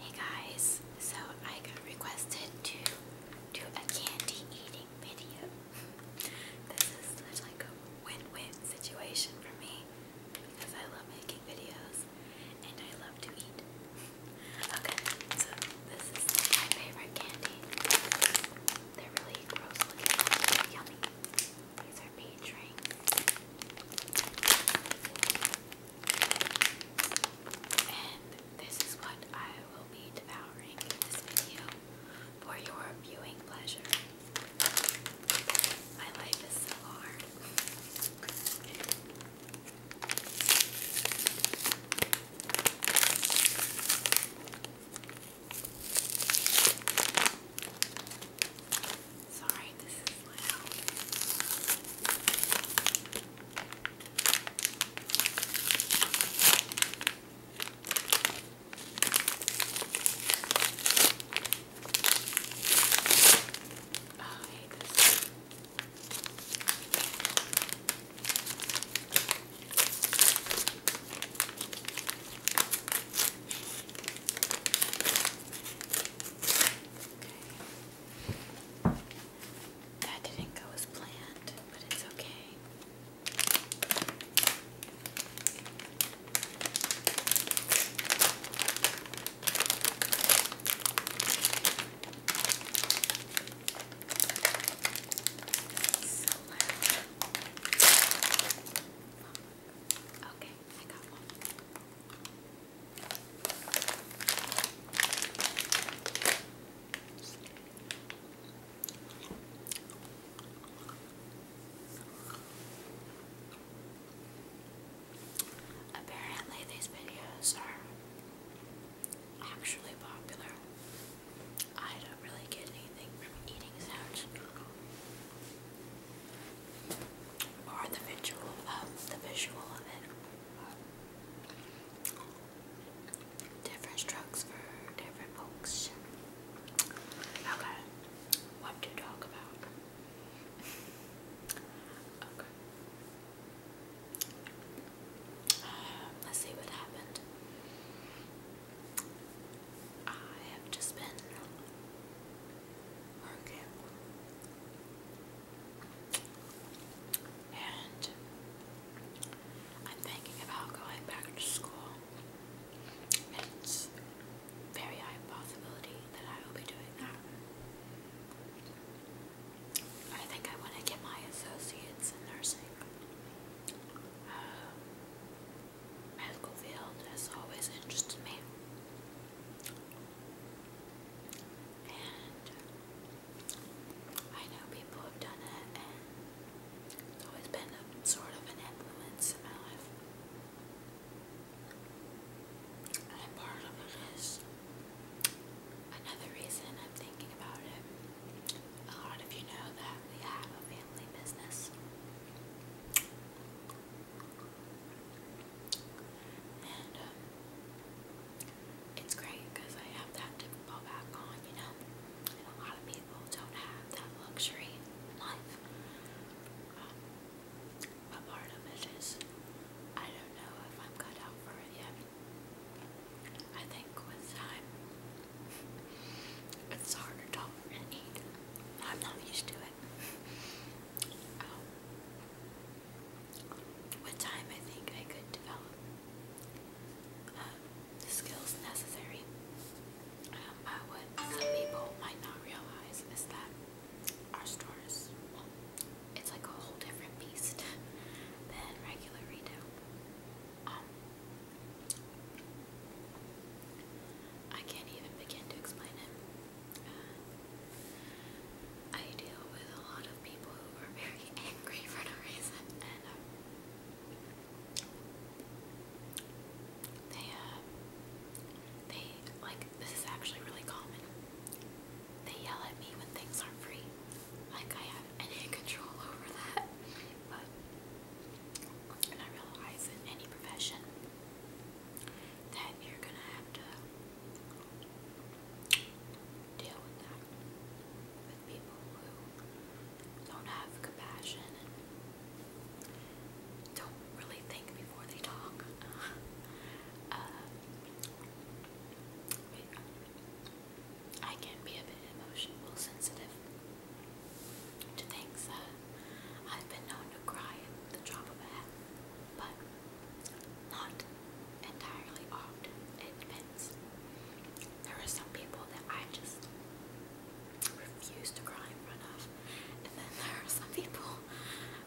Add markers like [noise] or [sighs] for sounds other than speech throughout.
Hey guys, so I got requested to do a candy eating video. [laughs] This is such like a win-win situation for me because I love making videos and I love to eat. [laughs] Okay, so this is my favorite candy. They're really gross looking, but yummy. These are peach rings. And this is what I will be devouring in this video for your viewing pleasure. My life is so hard. Sorry, this is loud. Oh, hate this. Okay. That didn't go as planned, but it's okay. So loud. Okay, I got one. Apparently, these videos are actually popular. I don't really get anything from eating sounds or the visual um, the visual of it. Different strokes for different folks. Okay. What to talk about? okay. Um, let's see what happened. I have just been and I'm thinking about going back to school. It's very high possibility that I will be doing that. I think I want to get my associates in nursing. Uh, medical field has always interested me. And I know people have done it, and it's always been a, sort of an influence in my life. And part of it is another reason I'm thinking about it. A lot of you know that we have a family business. And um, it's great because I have that to fall back on, you know. And a lot of people don't have that luxury in life. Um, but part of it is, I don't know if I'm cut out for it yet. I think with time, [laughs] it's harder to tolerate. I'm not used to it. Um, time. time, I think I could develop um, the skills necessary. Um, what some people might not realize is that our stores, it's like a whole different beast [laughs] than regular retail. Um, I can't even begin to explain it. Uh, I deal with a lot of people who are very [laughs] angry for no reason, and um, they, uh, they, like, this is actually really common. They yell at me when things aren't free. Like, I have any [laughs] control over that. But, and I realize in any profession, that you're gonna have to deal with people who don't have compassion don't really think before they talk. [laughs] Um, I can be a bit emotional, sensitive to things that I've been known to cry at the drop of a hat, but not entirely often. It depends. There are some people that I just refuse to cry in front of, and then there are some people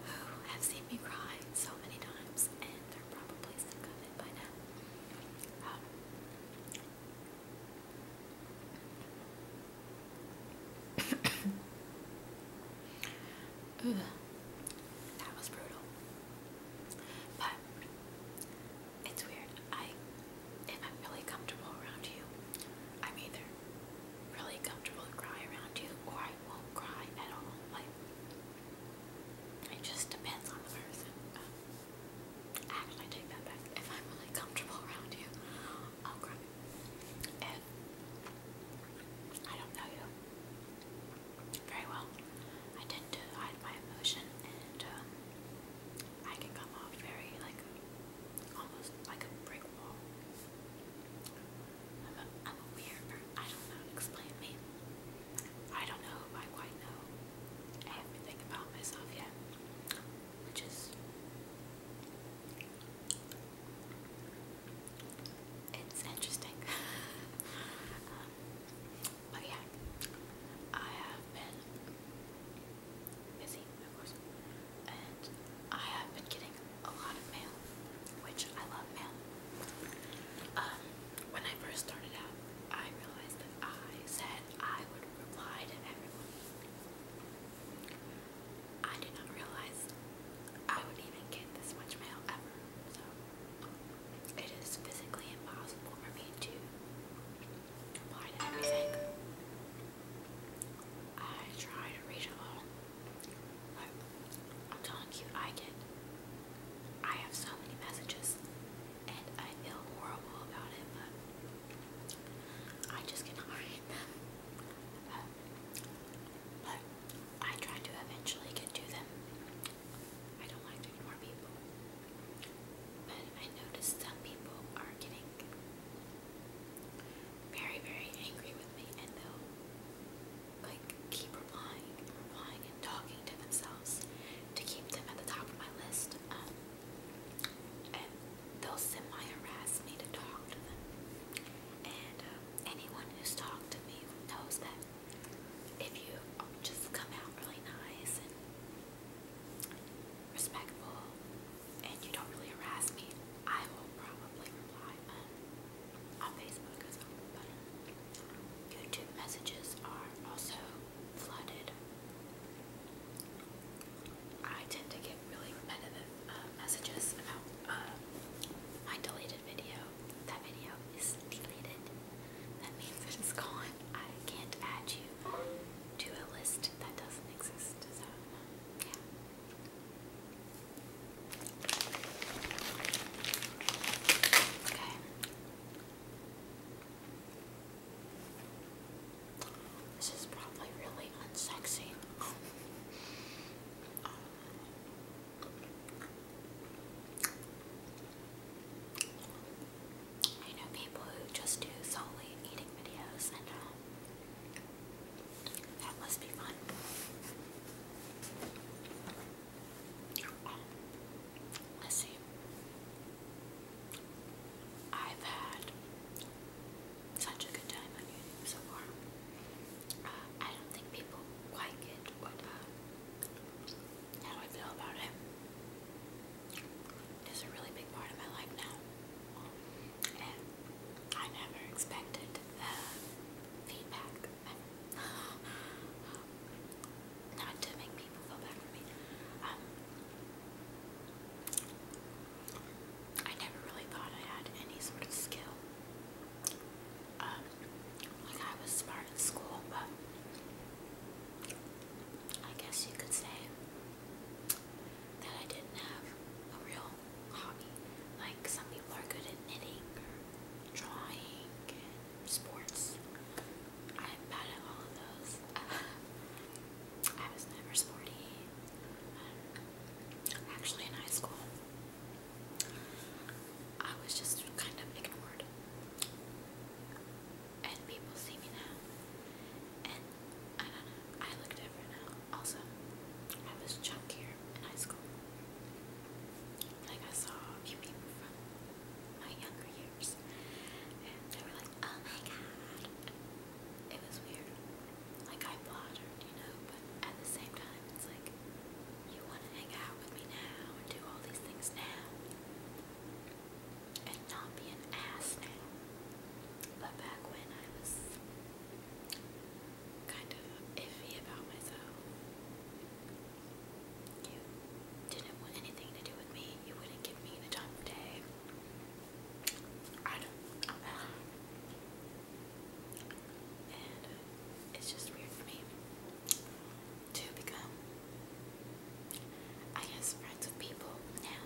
who have seen me cry so many times, and they're probably sick of it by now. Um, that was brutal. But it's weird. I if I'm really comfortable around you, I'm either really comfortable to cry around you or I won't cry at all. Like it just depends on the person. actually, take that back. If I'm really comfortable around you, i don't know you very well, I tend to hide my emotion, and um, I can come off very like almost like a brick wall. I'm a, I'm a weird person. I don't know explain me. I don't know I quite know everything about myself yet which is it's interesting. [laughs] Um, but yeah, I have been busy, of course, and I have been getting a lot of mail, which I love mail. Um, when I first started out, I realized that I said I would reply to everyone. I did not realize I would even get this much mail ever. So it is physically impossible for me to reply to everything. I try to read it all. I'm telling you, I get I have so many messages and I feel horrible about it, but I just cannot iron but I try to eventually get to them. I don't like to ignore people. But I noticed some people are getting very, very angry with me and they'll like keep replying replying and talking to themselves to keep them at the top of my list. Um, and they'll semi-harass me to talk to them. And uh, anyone who's talked to me knows that if you just come out really nice and respectful, and you don't really harass me, I will probably reply. on Facebook as YouTube messages are also flooded. I tend to get really repetitive uh, messages about uh, my deleted video. That video is deleted. That means it is gone. I can't add you to a list that doesn't exist. So, yeah. Okay. This is probably really unsexy. I know people who just do solely eating videos, and um, that must be fun. Um, let's see. I've had such a good time on YouTube so far. Uh, I don't think people like it, but how I feel about it is a really big part of my life now. And I never expected the feedback. [laughs] Not to make people feel bad for me. Um, I never really thought I had any sort of skill. Um, like I was smart in school, but I guess you could say that I didn't have a real hobby. Like some people are good at knitting or drawing and sports. I'm bad at all of those. [laughs] I was never sporty. Um, actually, in high school, I was just kind of ignored. And people see me now. And I don't know, I look different now. Also, I was chunkier in high school. Like, I saw a few people from my younger years. Oh it was weird. Like, I bothered, you know, but at the same time, it's like, you want to hang out with me now and do all these things now. And not be an ass now. But back when I was kind of iffy about myself, you didn't want anything to do with me. You wouldn't give me the time of day. I it's just weird for me to become, I guess, friends with people now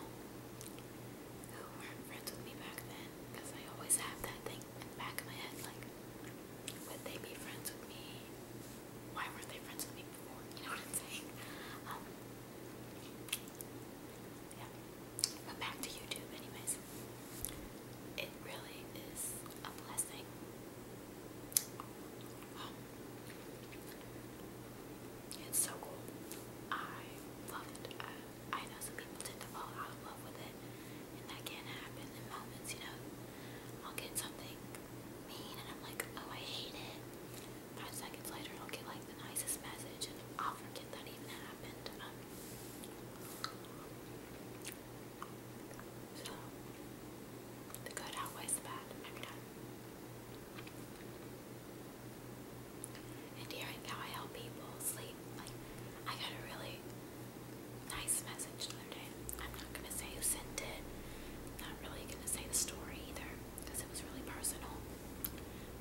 who weren't friends with me back then. Because I always have that thing in the back of my head like, would they be friends with me? Why weren't they friends with me before? You know what I'm saying? Um, yeah. But back to YouTube anyways. It really is a blessing. Um, it's so cool. I love it. I know some people tend to fall out of love with it, and that can happen in moments, you know. I'll get something mean, and I'm like, oh, I hate it. Five seconds later, I'll get like the nicest message, and I'll forget that even happened. Um, so, the good outweighs the bad every time. And hearing how I help people sleep, like, I got a really nice message the I'm not gonna say who sent it, I'm not really gonna say the story either because it was really personal.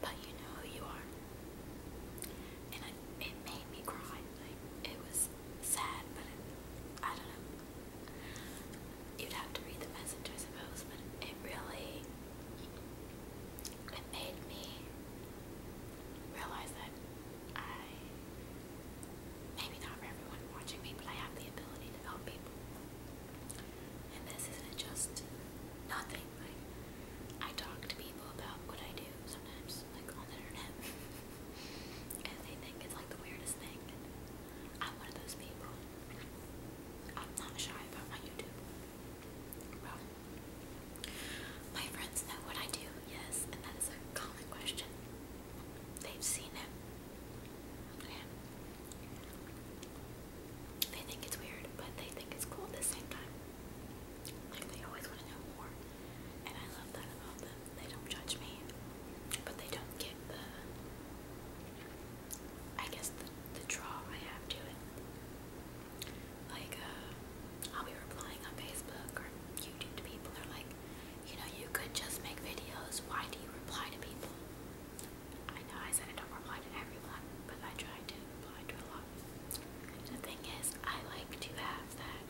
But you know who you are. And I, it made me cry. it was sad, but I don't know. You'd have to read the message, I suppose, but it really, it made me realize that I, maybe not for everyone watching me, but I have the ability to help people. And this isn't just nothing. Like I talk to people about what I do sometimes, like on the internet, and they think it's like the weirdest thing. I'm one of those people. I'm not shy about my YouTube. my friends know what I do, yes, and that is a common question. They've seen it. Okay. They think it's weird, but they think it's cool at the same time. Like they always want to know more, and I love that about them. They don't judge me, but they don't get the, I guess, the, the draw I have to it. Like, uh, I'll be replying on Facebook or YouTube to people. They're like, you know, you could just make videos. Why do you reply to people? I know I said I don't reply to everyone, but I try to reply to a lot. The thing is, I like to have that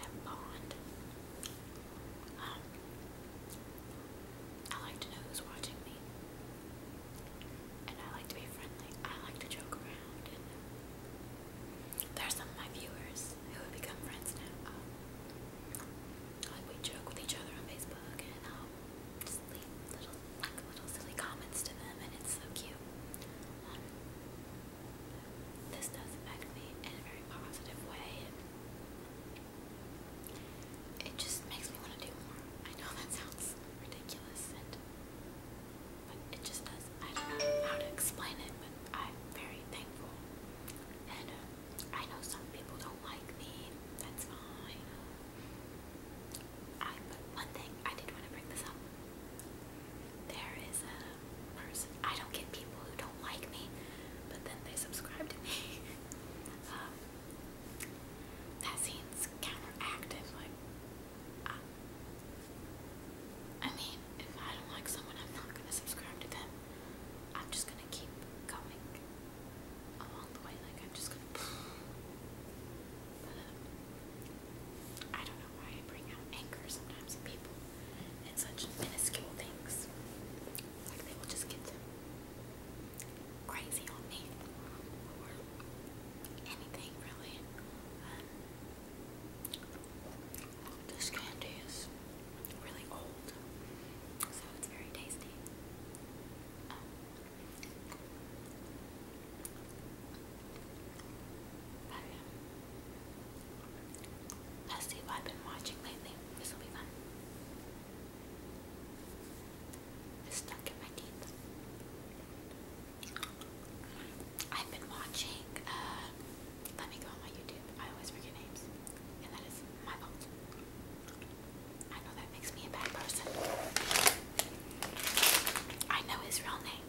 that bond. Um, I like to know who's watching me, and I like to be friendly. I like to joke around, and there are some of my viewers who have become friends now. Um, like we joke with each other on Facebook and I'll um, just leave little like little silly comments to them and it's so cute. Um, this does affect me in a very positive way it just makes me want to do more. I know that sounds ridiculous but it just does. I don't know how to explain it, but I'm very thankful and um, I know some people don't like me, that's fine. I, but one thing, I did want to bring this up. There is a person, I don't get people who don't like me, but then they subscribe to me. [laughs] Um, that seems counteractive, like, I mean, if I don't like someone, I'm not going to subscribe to them. I'm just gonna keep going along the way. Like, I'm just gonna. [sighs] I don't know why I bring out anger sometimes in people in such minuscule things. Like, they will just get crazy on me or anything, really. Um, this candy is really old, so it's very tasty. Um, let's see what I've been watching lately. This will be fun. stuck in my teeth. I've been watching, uh, let me go on my YouTube. I always forget names that is my fault. I know that makes me a bad person. I know his real name,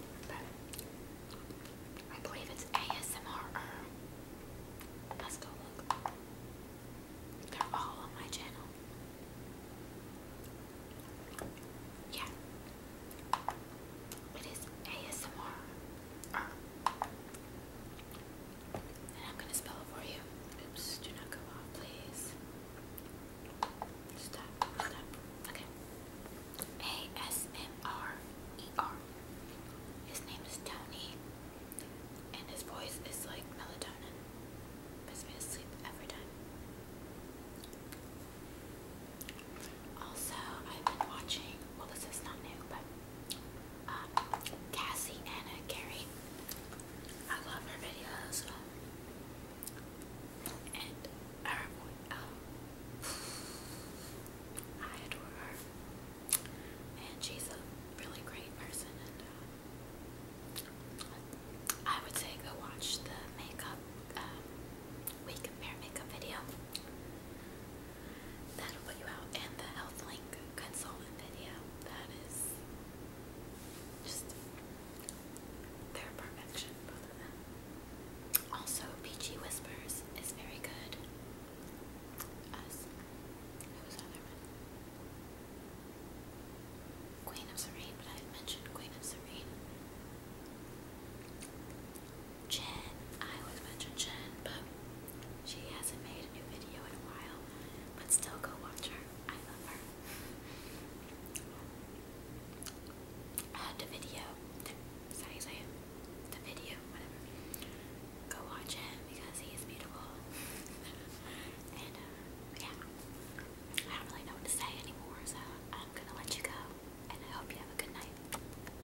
I believe it's ASMR. Let's go look. They're all on my channel. Yeah. It is ASMR and I'm gonna spell it for you. Oops, do not go off, please. Stop, stop. Okay. A S M R E R. His name is Tony, and his voice is like melatonin. Puts me sleep every time. Also, I've been watching, well, this is not new, but Cassie Anna Carey. I love her videos. and her oh. [sighs] I adore her. And she's a really great person. And uh, I would say go watch the makeup, um, we compare makeup video. That'll put you out. And the health consultant video. That is just their perfection, both of them. Also, Peachy Whispers is very good. Us. Who other one? Queen of Serene, but I mentioned Queen of Serene. Jen. I always mention Jen, but she hasn't made a new video in a while. But still, go watch her. I love her. Uh, the video. The, is The video, whatever. Go watch him because he is beautiful. [laughs] and, uh, yeah. I don't really know what to say anymore, so I'm gonna let you go. And I hope you have a good night.